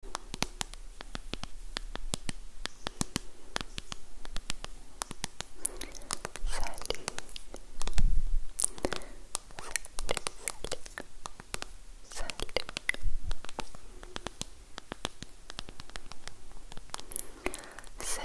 Salut. Salut, salut, salut. C'est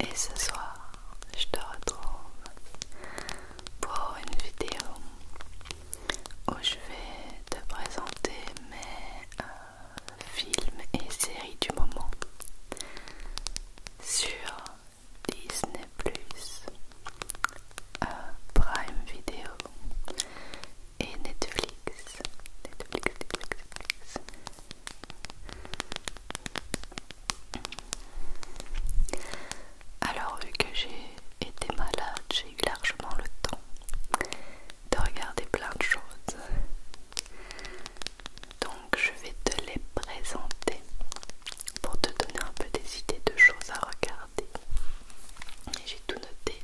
Et ce soir, je te retrouve pour une vidéo où je vais te présenter mes euh, films et séries du moment sur Disney Plus, euh, Prime Video et Netflix. Netflix, Netflix, Netflix. Alors vu que j'ai été malade, j'ai eu largement le temps de regarder plein de choses. Donc je vais te les présenter pour te donner un peu des idées de choses à regarder. Et j'ai tout noté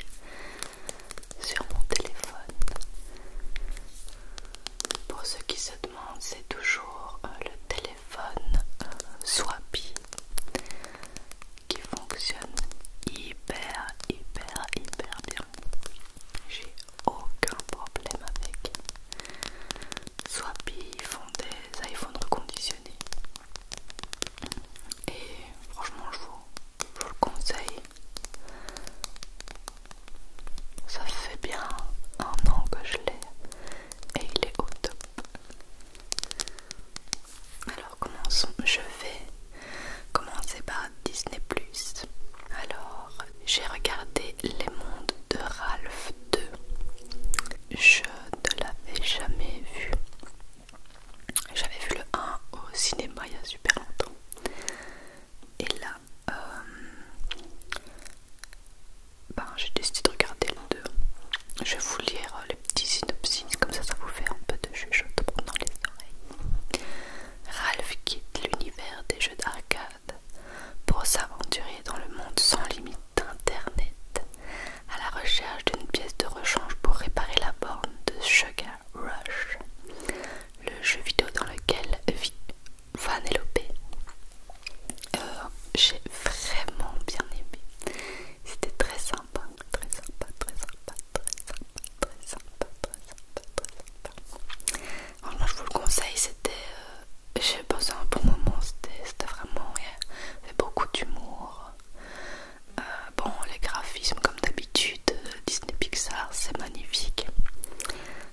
sur mon téléphone. Pour ceux qui se demandent, c'est toujours euh, le téléphone euh, swapy qui fonctionne hyper, hyper, hyper bien. J'ai aucun problème avec. Swapi font des iPhones reconditionnés. Et franchement, je vous, je vous le conseille. Ça fait bien un an que je l'ai et il est au top. Alors commençons. Je vais commencer par Disney ⁇ Alors j'ai regardé Les Mondes de Ralph 2. Je ne l'avais jamais vu. J'avais vu le 1 au cinéma il y a super longtemps. Et là, euh, ben, j'ai décidé de regarder le 2. Je vais vous lire euh, les petits synopsis, comme ça, ça vous fait un peu de chuchotement dans les oreilles. Ralph quitte l'univers des jeux d'arcade pour s'aventurer dans le monde sans limite d'Internet à la recherche d'une pièce de rechange pour réparer la borne de Sugar Rush, le jeu vidéo dans lequel vit Vanellope. Euh, j'ai vraiment bien aimé. C'était très sympa, très sympa, très sympa, très sympa, très sympa, très sympa, très je vous le conseille, c'était. Euh, j'ai passé un bon moment, c'était vraiment. Il y avait beaucoup d'humour, euh, bon, les graphismes, comme d'habitude, euh, Disney Pixar, c'est magnifique.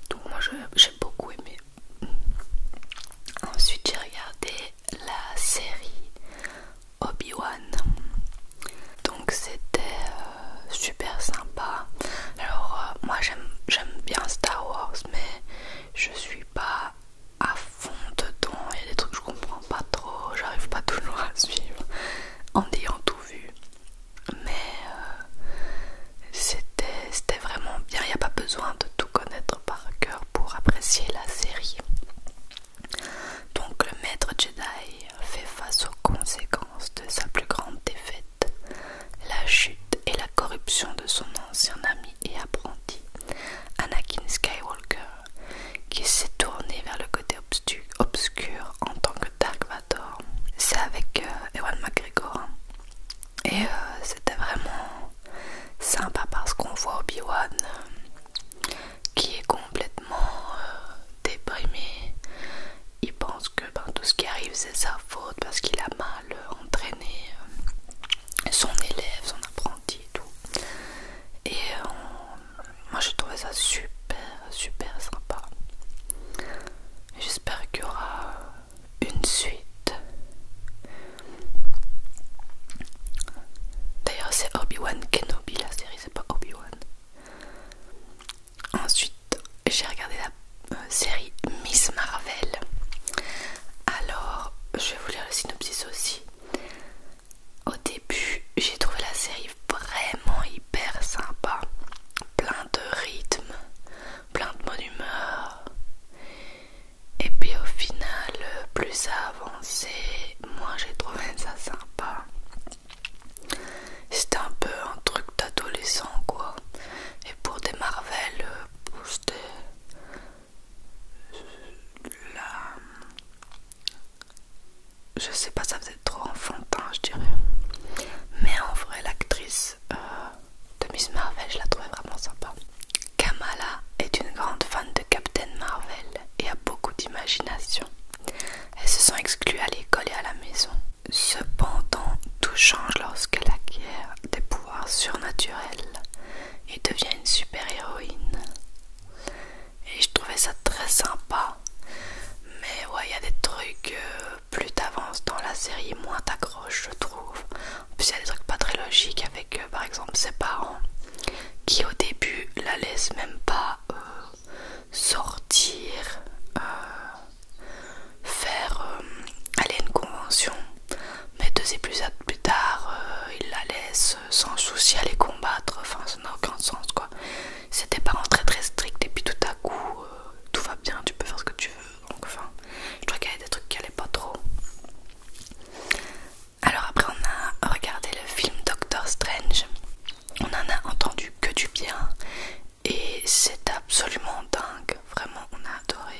Donc, moi j'ai beaucoup aimé. Ensuite, j'ai regardé la série Obi-Wan. Donc, c'était euh, super sympa. Alors, moi j'aime bien Star Wars, mais je suis pas à fond dedans. Il y a des trucs que je comprends pas trop, j'arrive pas toujours à suivre en ayant tout vu. Mais euh, c'était vraiment bien. Il n'y a pas besoin de tout connaître par cœur pour apprécier la série. Donc le maître Jedi fait face aux conséquences de sa plus grande défaite, la chute et la corruption de son ancien ami et apprenti, Anakin Skywalker qui s'est tourné vers le côté obscur en tant que Dark Vador. C'est avec euh, Ewan McGregor. Hein. Et euh, c'était vraiment sympa parce qu'on voit Obi-Wan qui est complètement euh, déprimé. Il pense que ben, tout ce qui arrive c'est sa faute parce qu'il a mal entraîné son élève, son apprenti et tout moi j'ai trouvé ça super super sympa j'espère qu'il y aura une suite d'ailleurs c'est Obi-Wan Kenobi la série c'est pas Obi-Wan ensuite j'ai regardé la euh, série Miss Marvel alors je vais vous lire le synopsis aussi au début, j'ai trouvé la série vraiment hyper sympa, plein de rythme, plein de bonne humeur. Et puis au final, plus ça avançait, moi j'ai trouvé ça sympa. C'était un peu un truc d'adolescent quoi. Et pour des Marvel, euh, c'était la je sais pas, ça faisait trop enfantin, je dirais. Mais en vrai, l'actrice euh, de Miss Marvel, je la trouvais vraiment sympa. Kamala est une grande fan de Captain Marvel et a beaucoup d'imagination. Elles se sont exclues à l'école et à la maison. Cependant, tout change lorsqu'elle acquiert des pouvoirs surnaturels et devient une super-héroïne et je trouvais ça très sympa. Mais ouais, il y a des trucs, euh, plus t'avances dans la série, moins t'accroches, je trouve. En plus, il y a des trucs pas très logiques avec euh, par exemple ses parents qui, au début, la laissent même pas euh, sortir, faire aller à une convention. Mais deux épisodes plus tard, ils il la laisse sans souci aller combattre aucun sens quoi. C'est pas parents très très strict et puis tout à coup euh, tout va bien, tu peux faire ce que tu veux. Donc enfin, je crois qu'il y avait des trucs qui allaient pas trop. Alors après on a regardé le film Doctor Strange. On en a entendu que du bien et c'est absolument dingue. Vraiment on a adoré.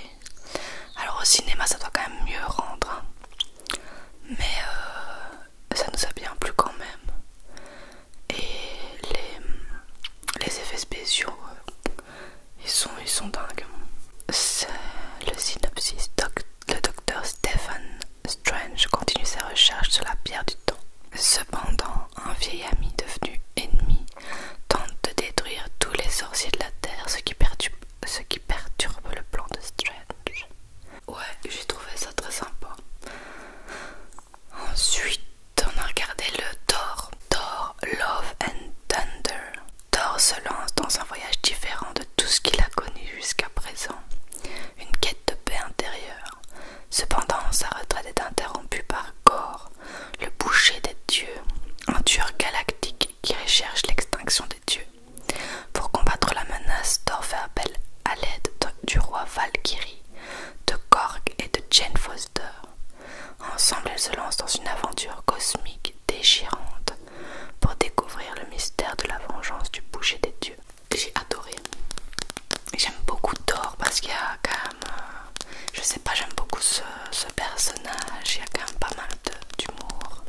Alors au cinéma ça doit quand même mieux rendre. Hein. Mais euh, ça nous a bien plu quand même. Et les, les effets spéciaux, euh, ils sont, ils sont dingues. C'est le synopsis. le docteur Stephen Strange continue ses recherches sur la pierre du temps. Cependant, un vieil ami devenu ennemi tente de détruire tous les sorciers de la Terre, ce qui perturbe, ce qui perturbe le plan de Strange. Ouais, j'ai trouvé ça très sympa. Ensuite, on a regardé le Thor. Thor Love and Thunder. Thor se lance dans un voyage différent de tout ce qu'il a connu jusqu'à présent. Une quête de paix intérieure. Cependant, sa retraite est interrompue par Gorr, le boucher des dieux, un tueur galactique qui recherche l'extinction des dieux. Pour combattre la menace, Thor fait appel à l'aide du roi Valkyrie, de Korg et de Jane Foster. Ensemble, elles se lancent dans une aventure cosmique déchirante pour découvrir le mystère de la vengeance du boucher des dieux. J'ai adoré. J'aime beaucoup Thor parce qu'il y a quand même, euh, je sais pas, j'aime beaucoup ce, ce personnage. Il y a quand même pas mal d'humour.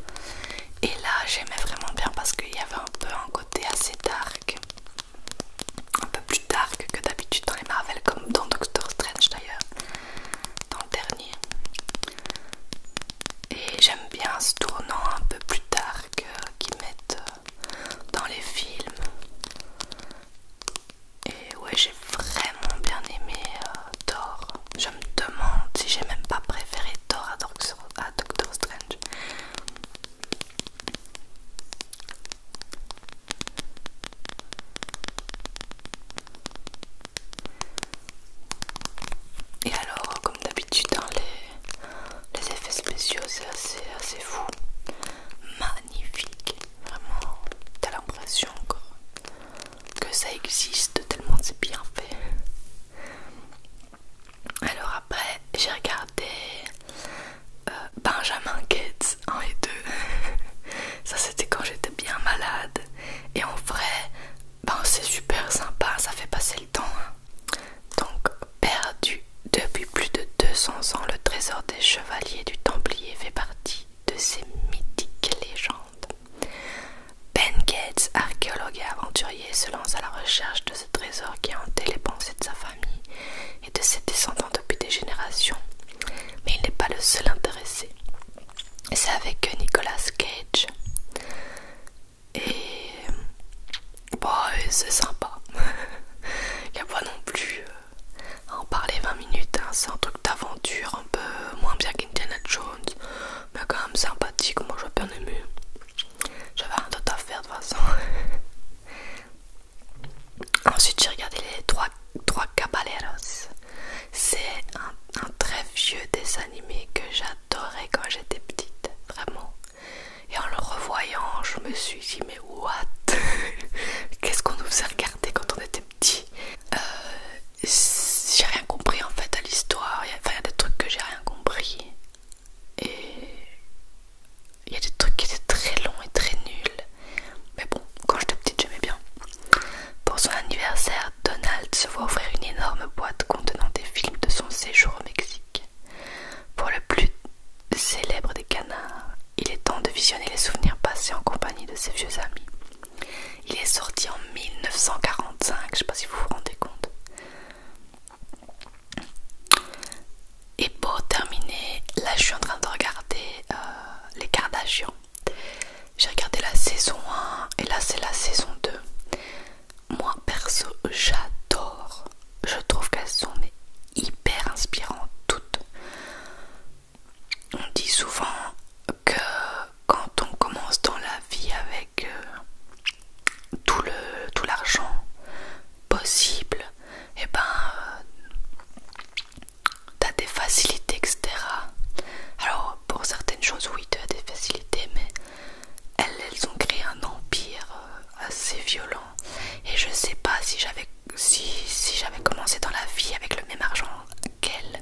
Et là, j'aimais vraiment bien parce qu'il y avait un peu un côté assez dark, un peu plus dark que d'habitude dans les Marvel, comme dans Doctor Strange d'ailleurs, dans le dernier. Et j'aime bien ce tournant un peu plus dark euh, qu'ils mettent euh, dans les films. Et ouais, j'ai vraiment bien aimé euh, Thor. Je me demande si j'ai même pas préféré Dor à, Doctor, Strange. Et alors, comme d'habitude, hein, les, effets spéciaux, c'est assez, fou, magnifique. Vraiment, t'as l'impression que ça existe tellement c'est bien fait. Alors après j'ai regardé euh, Benjamin Gates 1 et 2 Ça c'était quand j'étais bien malade Et en vrai ben, c'est super sympa ça fait passer le temps hein. Donc perdu depuis plus de 200 ans Le trésor des chevaliers du Templier fait partie de ces mythiques légendes ben Gates, archéologue et aventurier, se lance à la recherche de ce trésor qui a hanté les pensées de sa famille et de ses descendants depuis des générations. Mais il n'est pas le seul intéressé. C'est avec Nicolas Cage. Et. bon, c'est sympa. Il n'y a pas non plus euh, à en parler 20 minutes. Hein. C'est un truc d'aventure, un peu moins bien qu'Indiana Jones, mais quand même sympathique, moi je vois bien aimé. J'avais rien d'autre à faire de toute façon. Ensuite j'ai regardé les trois, trois Caballeros. C'est un, très vieux dessin animé que j'adorais quand j'étais petite, vraiment. Et en le revoyant, je me suis dit mais what Qu'est-ce qu'on nous faisait regarder quand on était petit euh, j'ai rien compris en fait à l'histoire. Enfin, il y a des trucs que j'ai rien compris. Et il y a des trucs qui étaient très longs et très nuls. Mais bon, quand j'étais petite, j'aimais bien. Pour son anniversaire, Donald se voit offrir une énorme boîte contenant des films de son séjour au Mexique. Pour le plus célèbre des canards, il est temps de visionner les souvenirs passés en compagnie de ses vieux amis. Il est sorti en 1945, je sais pas si vous vous rendez compte. Et pour terminer, là je suis en train de regarder euh, les Kardashians. J'ai regardé la saison 1 et là c'est la saison 2. Moi perso, j'adore. Je trouve qu'elles sont hyper inspirantes toutes. On dit souvent que quand on commence dans la vie avec euh, tout le tout l'argent possible et eh ben euh, t'as des facilités etc alors pour certaines choses oui tu as des facilités mais elles, elles ont créé un empire euh, assez violent et je sais pas si j'avais si, si j'avais commencé dans la vie avec le même argent qu'elles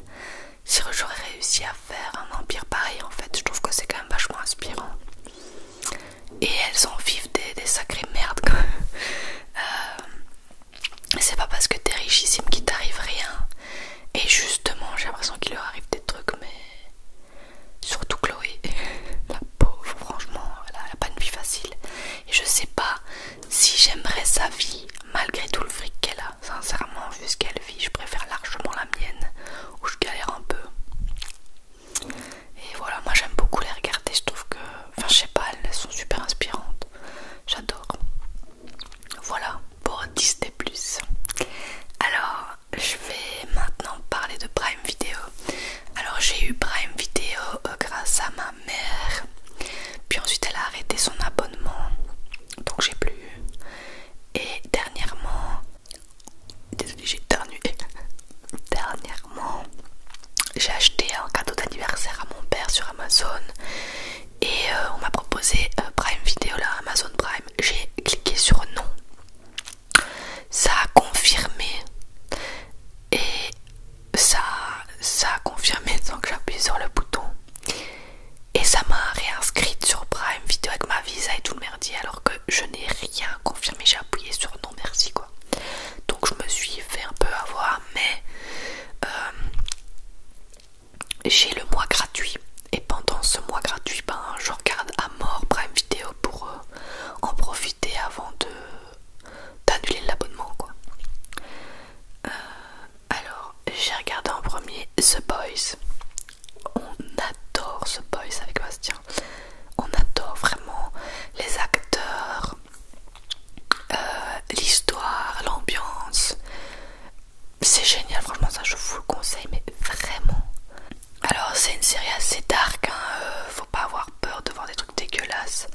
si j'aurais réussi à faire un empire pareil en fait, je trouve que c'est quand même vachement inspirant. Et elles en vivent des, sacrées merdes quand euh, c'est pas parce que t'es richissime qu'il t'arrive rien. Et justement, j'ai l'impression qu'il leur arrive des trucs, mais surtout Chloé, la pauvre, franchement, elle elle pas une vie facile. Et je sais pas si j'aimerais sa vie malgré tout le fric qu'elle a. Sincèrement, vu ce qu'elle vit, je préfère largement la mienne où je galère un peu. Et voilà, moi j'aime beaucoup les regarder. Je trouve que, enfin, je sais pas, elles sont super inspirantes. J'adore. Voilà pour 10 des plus. Alors, je vais maintenant parler de Prime Vidéo. Alors, j'ai eu Prime Vidéo euh, grâce à ma mère. Puis ensuite, elle a arrêté son abonnement. Donc, j'ai plus eu. Et dernièrement, désolée j'ai dernièrement j'ai acheté un cadeau d'anniversaire à mon père sur Amazon et euh, on m'a proposé euh, Prime Video, là Amazon Prime. J'ai cliqué sur non, ça a confirmé et ça, ça a confirmé sans que j'appuie sur le bouton. Et ça m'a réinscrite sur Prime Video avec ma visa et tout le merdier alors que je n'ai rien confirmé, j'ai appuyé sur non merci quoi. Donc je me suis fait un peu avoir mais euh, j'ai le mois gratuit et pendant ce mois gratuit ben je regarde à mort Prime Video pour euh, en profiter avant de d'annuler l'abonnement quoi. Euh, alors, j'ai regardé en premier The Boys. On adore The Boys avec Bastien. On adore vraiment les acteurs, euh, l'histoire, l'ambiance. C'est génial, franchement, ça je vous le conseille, mais vraiment. Alors, c'est une série assez dark, hein, euh, faut pas avoir peur de voir des trucs dégueulasses.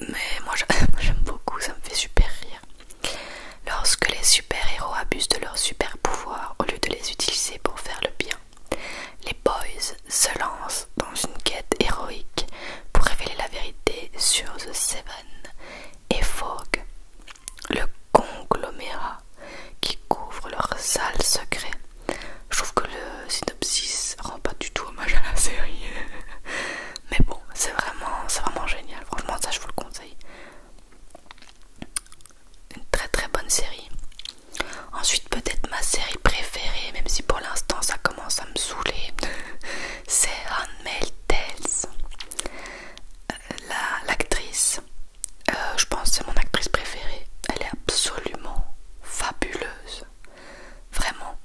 Mais moi j'aime beaucoup, ça me fait super rire. Lorsque les super-héros abusent de leurs super-pouvoirs au lieu de les utiliser pour faire le bien, les boys se lancent dans une quête héroïque pour révéler la vérité sur The Seven et fog le conglomérat qui couvre leurs sales secrets. Je trouve que le synopsis rend pas du tout hommage à la série. Mais bon, c'est vraiment, vraiment génial. Franchement, ça je vous le conseille. Une très très bonne série. Ensuite, peut-être ma série préférée, même si pour l'instant ça commence à me saouler, c'est Anne Tales. Euh, l'actrice, euh, je pense c'est mon actrice préférée. Elle est absolument fabuleuse. Vraiment.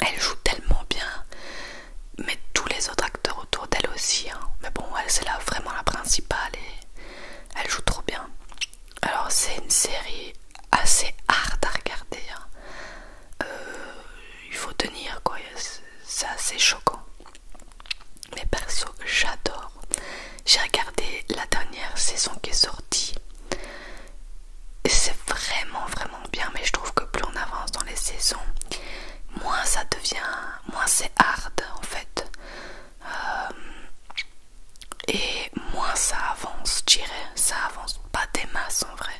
Elle joue tellement bien mais tous les autres acteurs autour d'elle aussi. Hein. Mais bon, elle c'est là vraiment la principale et elle joue trop bien. Alors c'est une série assez hard à regarder. Hein. Euh, il faut tenir quoi, c'est assez choquant. Mais perso, j'adore. J'ai regardé la dernière saison qui est sortie. Et c'est vraiment vraiment bien, mais je trouve que plus on avance dans les saisons, moins ça devient, moins c'est hard en fait. Euh, et moins ça avance, je dirais. Ça avance pas des masses en vrai.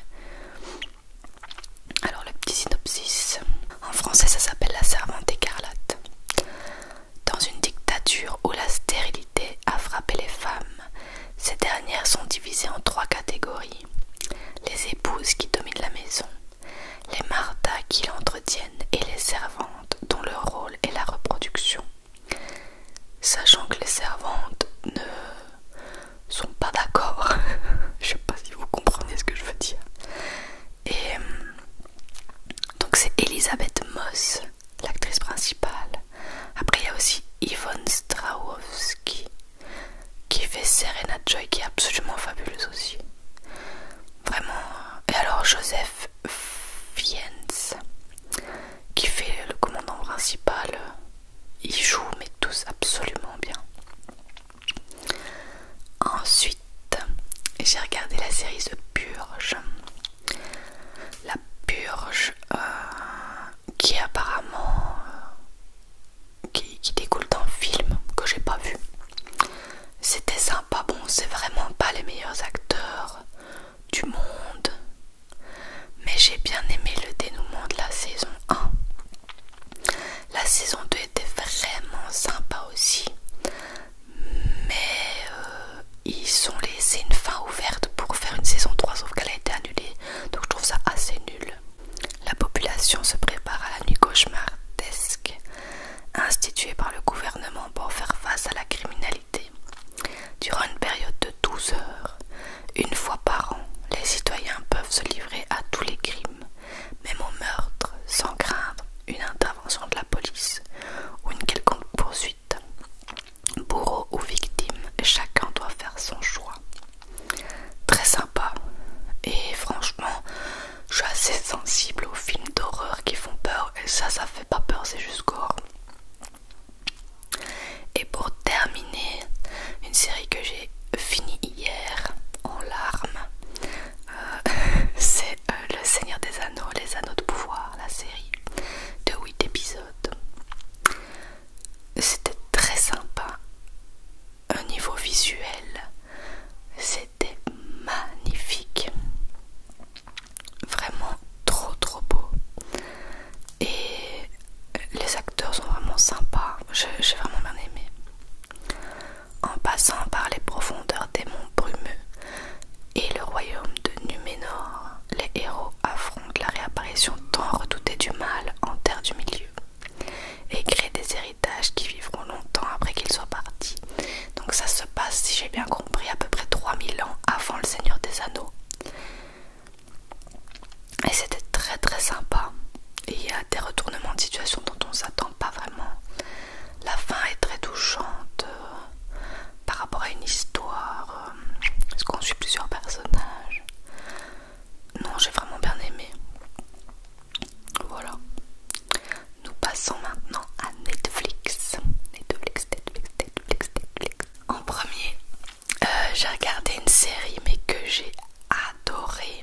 Alors le petit synopsis. En français ça s'appelle la servante écarlate. Dans une dictature où la stérilité a frappé les femmes, ces dernières sont divisées en trois catégories les épouses qui dominent la maison, les mardas qui l'entretiennent et les servantes dont le rôle est la reproduction. Sachant que les servantes ne sont pas d'accord, je sais pas si vous comprenez ce que je veux dire. Et euh, donc c'est Elisabeth Moss, l'actrice principale. Après il y a aussi Yvonne Strahovski qui fait Serena Joy qui est absolument fabuleuse aussi. Vraiment. Euh, et alors Joseph Fiennes qui fait le commandant principal. Il joue mais tous absolument bien. Ensuite, j'ai regardé la série de Purge. La Purge, euh, qui apparemment euh, qui, découle d'un film que j'ai pas vu. C'était sympa, bon c'est vraiment pas les meilleurs acteurs du monde, mais j'ai bien aimé le dénouement de la saison 1. La saison 2 était vraiment sympa aussi, mais euh, ils ont laissé une fin ouverte pour faire une saison 3 sauf qu'elle a été annulée, donc je trouve ça assez nul. La population se prépare à la nuit cauchemardesque instituée par le gouvernement pour faire face à la criminalité. Durant une période de 12 heures, une fois par an, les citoyens peuvent se livrer à tous les crimes, même au meurtre, sans craindre une intervention de la police ou une quelconque poursuite. Bourreau ou victime, chacun doit faire son choix très sympa et franchement je suis assez sensible aux films d'horreur qui font peur et ça ça fait pas peur c'est juste gore et pour terminer une série que j'ai finie hier en larmes euh, c'est euh, le Seigneur des Anneaux les Anneaux de pouvoir la série de 8 épisodes c'était très sympa. Au niveau visuel, c'était magnifique. Vraiment trop trop beau. Et les acteurs sont vraiment sympas. J'ai vraiment bien aimé. En passant par les profondeurs des monts brumeux et le royaume de Numénor, les héros affrontent la réapparition tant redoutée du mal en terre du milieu et créer des héritages qui vivront longtemps après qu'ils soient partis. Donc ça se passe, si j'ai bien compris, à peu près 3000 ans avant le Seigneur des Anneaux. Et c'était très très sympa. il y a des retournements de situation dont on ne s'attend pas vraiment. La fin est très touchante euh, par rapport à une histoire, euh, parce qu'on suit plusieurs personnages. Non, j'ai vraiment bien aimé. Voilà. Nous passons maintenant à Netflix. Netflix, Netflix, Netflix, Netflix. En premier, euh, j'ai regardé une série mais que j'ai adorée.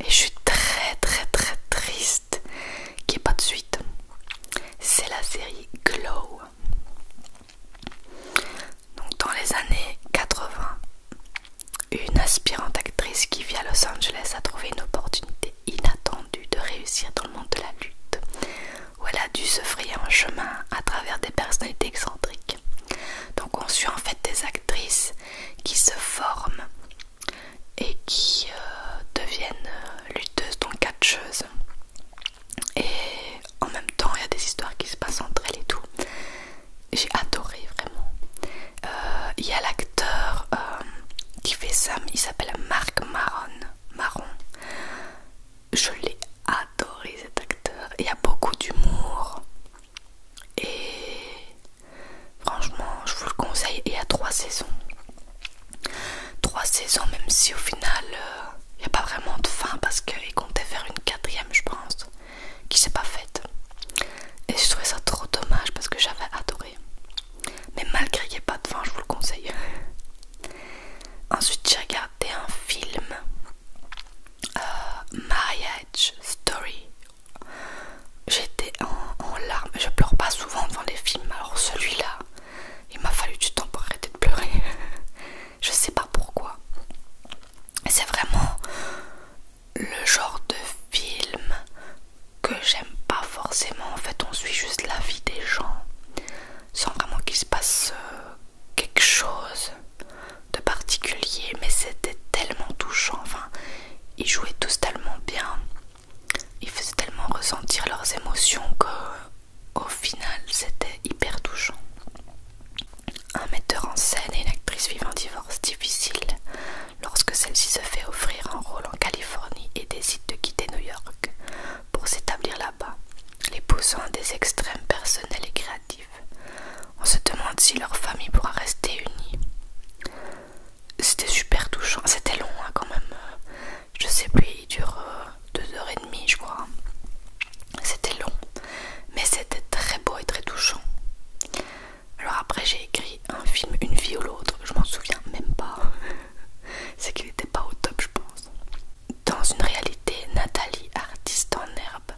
Et je suis très très très triste qui est pas de suite. C'est la série Glow. Donc dans les années 80, une aspirante actrice qui vit à Los Angeles a trouvé une opportunité inattendue de réussir dans le monde de la lutte, où elle a dû se frayer un chemin à travers des personnalités excentriques. Donc on suit en fait des actrices qui se forment et qui euh, deviennent euh, lutteuses, donc catcheuses. Et en même temps, il y a des histoires qui se passent entre elles et tout j'ai adoré vraiment. Euh, il y a l'acteur euh, qui fait ça, il s'appelle Marc Maron. Marron. Je l'ai adoré cet acteur. Il y a beaucoup d'humour. Et franchement, je vous le conseille. Il y a trois saisons. Trois saisons, même si au final, euh, il n'y a pas vraiment de fin parce qu'il comptait faire une quatrième, je pense qui s'est pas faite. Et je trouvais ça trop dommage parce que j'avais adoré. Mais malgré qu'il n'y ait pas de vin, je vous le conseille. Ensuite, j'ai regardé un film euh, Marriage Story. J'étais en, en larmes. Je pleure pas souvent devant les films, alors celui-là, il m'a fallu du temps pour arrêter de pleurer. je sais pas pourquoi c'est vraiment le genre de film que j'aime pas forcément. En fait, on suit juste la vie des gens sans vraiment qu'il se passe euh, quelque chose de particulier, mais c'était tellement touchant. Enfin, ils jouaient tous tellement bien, ils faisaient tellement ressentir leurs émotions que au final, c'était hyper touchant. Un metteur en scène et une actrice vivent un divorce difficile lorsque celle-ci se fait offrir un rôle en Californie et décide de quitter New York pour s'établir là-bas, les poussant à des extrêmes personnels et créatifs. On se demande si leur famille pourra rester unie. C'était super touchant, c'était long hein, quand même. Je sais plus, il dure euh, deux heures et demie, je crois. C'était long, mais c'était très beau et très touchant. Alors après j'ai écrit un film Une vie ou l'autre, je m'en souviens même pas. C'est qu'il n'était pas au top je pense. Dans une réalité, Nathalie, artiste en herbe,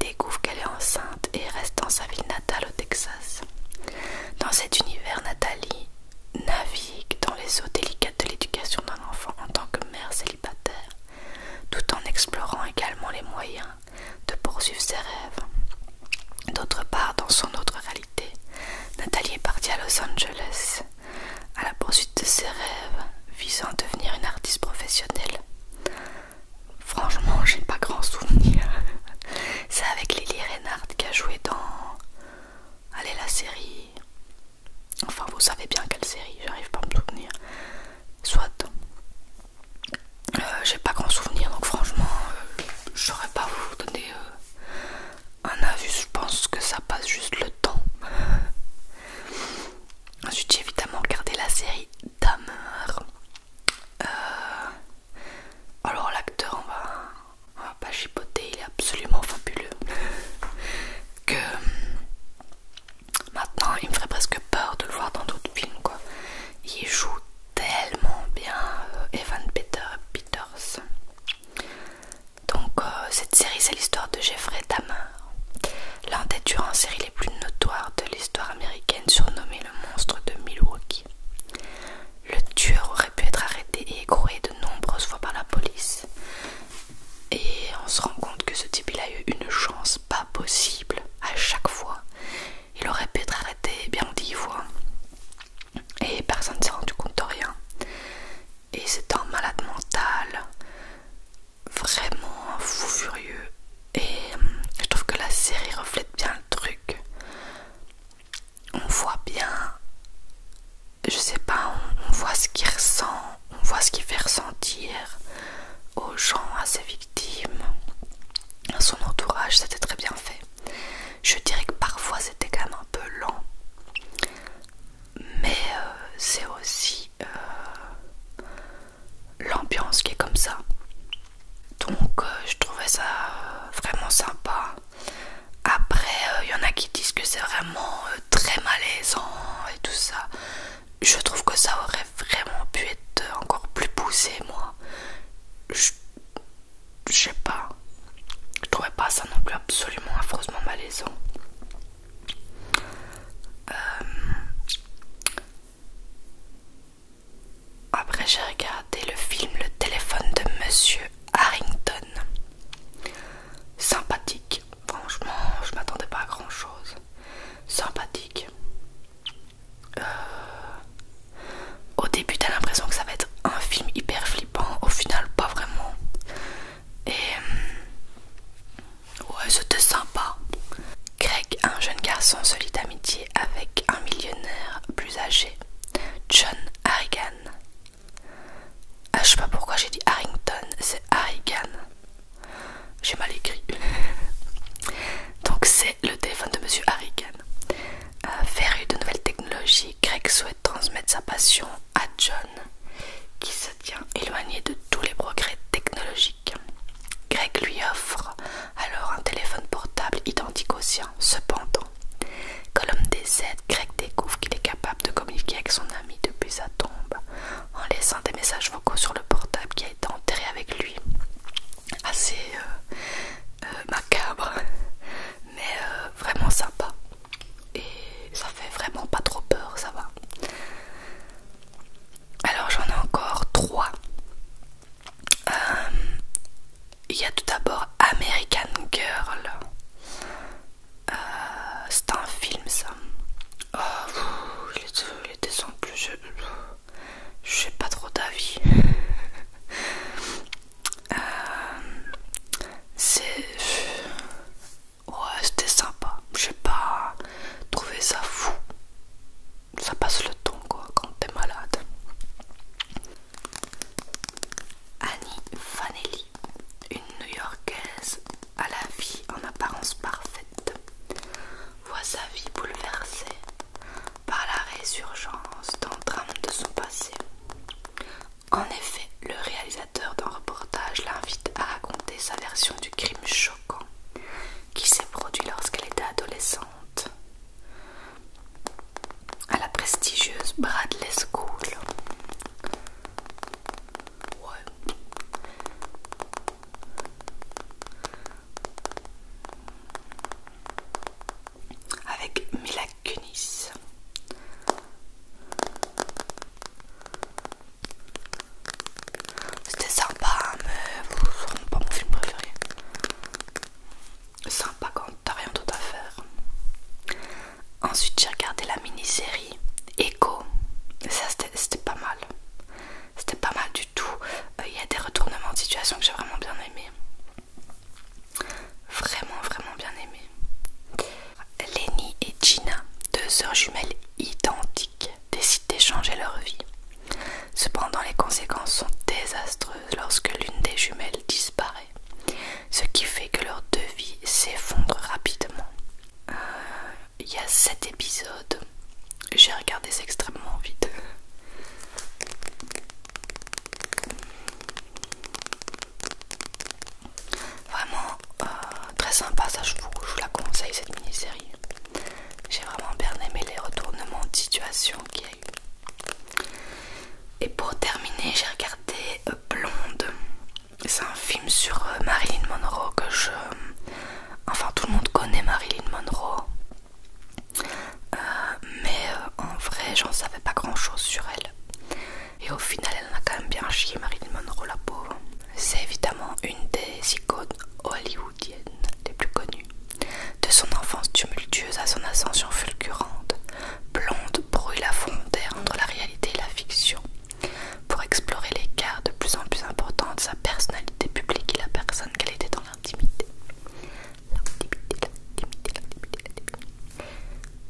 découvre qu'elle est enceinte et reste dans sa ville natale au Texas. Dans cet univers, Nathalie navigue dans les eaux délicates de l'éducation d'un enfant en tant que mère célibataire tout en explorant également les moyens de poursuivre ses rêves. D'autre part, dans son autre réalité, Nathalie est partie à Los Angeles à la poursuite de ses rêves visant à devenir une artiste professionnelle. Franchement, j'ai pas grand souvenir. C'est avec Lily Reinhardt qui a joué dans. Allez, la série Enfin, vous savez bien quelle série, j'arrive pas à me souvenir. Soit. Euh, j'ai pas grand souvenir, donc franchement, euh, je saurais pas vous donner euh, un avis. Je pense que ça passe juste le temps. Ensuite, j'ai évidemment regardé la série d'amour. alors, l'acteur, on va pas chipoter, il est absolument fabuleux. que Maintenant, il me ferait presque peur de le voir dans d'autres films, quoi. Il joue tellement bien euh, Evan Peter Peters. Donc, euh, cette série, c'est l'histoire de Jeffrey Dahmer, l'un des tueurs en série les plus notoires de l'histoire américaine, surnommé le monstre de Milwaukee. Le tueur aurait pu être arrêté et écroué de nombreuses fois par la police, et on se rend compte que ce type il a eu une chance pas possible à chaque fois. Il aurait pu être arrêté bien dix fois. Et personne ne s'est rendu compte de rien. Et c'est un malade mental, vraiment fou furieux. Et euh, je trouve que la série reflète bien le truc. On voit bien, je sais pas, on voit ce qu'il ressent, on voit ce qu'il fait ressentir aux gens, à ses victimes, à son entourage, c'était très bien fait. Je dirais que parfois c'était quand même un peu lent, mais euh, c'est aussi euh, l'ambiance qui est comme ça. Donc euh, je trouvais ça vraiment sympa. Après, il y en a qui disent que c'est vraiment très malaisant et tout ça je trouve que ça aurait vraiment pu être encore plus poussé moi je, sais pas je trouvais pas ça non plus absolument affreusement malaisant euh, après j'ai regardé le film le téléphone de monsieur Harrington sympathique Franchement, je m'attendais pas à grand chose. Sympathique. Euh, au début, t'as l'impression que ça va être un film hyper flippant. Au final, pas vraiment. Et euh, ouais, c'était sympa. Greg, un jeune garçon, se lie d'amitié avec un millionnaire plus âgé, John Harrigan. Ah, je sais pas pourquoi j'ai dit Harrington, c'est Harrigan. J'ai mal écrit. Donc c'est le téléphone de Monsieur Harrigan. Euh, Ferru de nouvelles technologies, Greg souhaite transmettre sa passion à John, qui se tient éloigné de tous les progrès technologiques. Greg lui offre alors un téléphone portable identique au sien. Cependant, quand l'homme décède, Greg découvre qu'il est capable de communiquer avec son ami depuis sa tombe en laissant des messages vocaux sur le portable qui a été enterré avec lui. Assez euh, euh, macabre, mais euh, vraiment sympa. Et ça fait vraiment pas trop peur, ça va. Alors j'en ai encore trois. Il y a tout d'abord American Girl. Euh, c'est un film ça. Oh, les, deux, plus... Je, sais pas trop d'avis. Euh, c'est... Ouais, c'était sympa. J'ai pas trouvé ça fou. Ça passe le temps quoi quand t'es malade. Annie Vanelli, une New-Yorkaise à la vie en apparence parfaite, voit sa vie bouleversée par la résurgence d'un drame de son passé. En effet, le réalisateur d'un reportage l'invite à raconter sa version du crime choquant qui s'est produit lorsqu'elle était adolescente à la prestigieuse Bradley School avec Mila Kunis. C'était sympa, hein, vous vous n'est pas mon film préféré. Sympa quand t'as rien d'autre à faire. Ensuite, j'ai regardé la mini-série Echo. Ça, c'était pas mal. C'était pas mal du tout. Euh, il y a des retournements de situation que j'ai vraiment bien aimé. Vraiment, vraiment bien aimé. Lenny et Gina, deux sœurs jumelles identiques, décident d'échanger leur vie. Cependant, les conséquences sont désastreuses lorsque l'une des jumelles disparaît, ce qui fait que leurs deux vies s'effondrent rapidement. Euh, il y a 7 épisodes. J'ai regardé c'est extrêmement vite. Vraiment euh, très sympa, ça je je vous la conseille cette mini-série. J'ai vraiment bien aimé les retournements de situation qu'il y a eu. Et pour terminer, j'ai regardé euh, Blonde. C'est un film sur euh, Marilyn Monroe que je... Euh, enfin tout le monde connaît Marilyn Monroe. Euh, mais en vrai j'en savais pas grand chose sur elle. Et au final elle en a quand même bien chié Marilyn Monroe la pauvre. C'est évidemment une des icônes hollywoodiennes les plus connues. De son enfance tumultueuse à son ascension fulgurante, Blonde brouille la frontière entre la réalité et la fiction pour explorer les de plus en plus importants de sa personnalité publique et la personne qu'elle était dans l'intimité.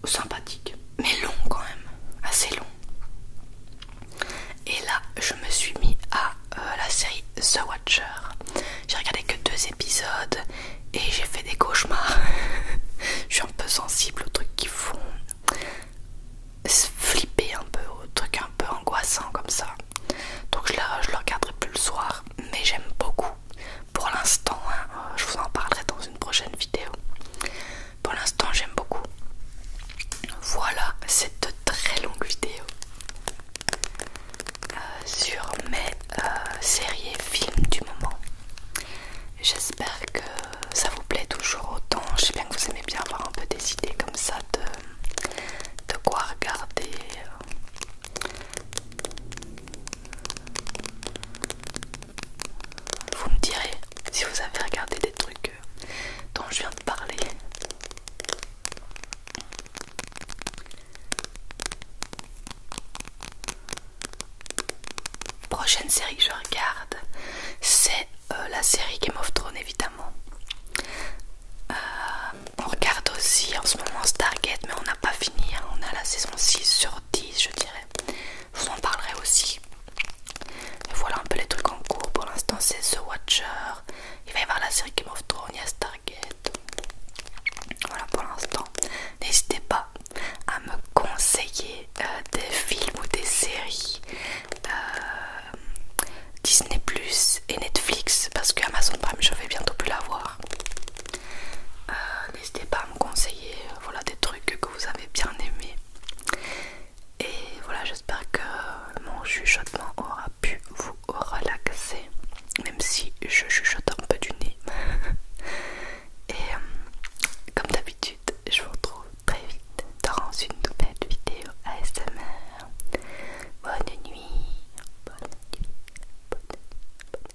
Sympathique, mais long quand même, assez long. Et là, je me suis mis à euh, la série The Watcher. J'ai regardé que deux épisodes et j'ai fait des cauchemars. je suis un peu sensible aux trucs qui font flipper un peu, truc un peu angoissant comme ça. Donc je, la, je le regarderai plus le soir, mais j'aime beaucoup. Pour l'instant, hein, je vous en parlerai dans une prochaine vidéo. Pour l'instant, j'aime beaucoup. Voilà cette très longue vidéo euh, sur mes euh, séries films du moment. J'espère que ça vous plaît toujours autant. Je sais bien que vous aimez bien avoir un peu des idées comme ça de, de quoi regarder. Vous me direz si vous avez regardé des trucs euh, dont je viens de parler. Prochaine série que je regarde, c'est euh, la série Game of Thrones évidemment. Euh, on regarde aussi en ce moment Stargate, mais on n'a pas fini. Hein. On a la saison 6 sur 10, je dirais. Je vous en parlerai aussi. voilà un peu les trucs en cours. Pour l'instant, c'est The Watcher. Il va y avoir la série Game of Thrones, il y a Stargate. Voilà pour l'instant. N'hésitez pas à me conseiller euh, des films ou des séries euh, Disney Plus et Netflix parce que Amazon Prime je vais bientôt plus l'avoir. voir euh, N'hésitez pas à me conseiller voilà, des trucs que vous avez bien aimés. Et voilà, j'espère que mon chuchotement aura pu vous relaxer, même si je chuchote un peu du nez. Et comme d'habitude, je vous retrouve très vite dans une nouvelle vidéo ASMR. Bonne nuit, bonne bonne bonne bonne nuit.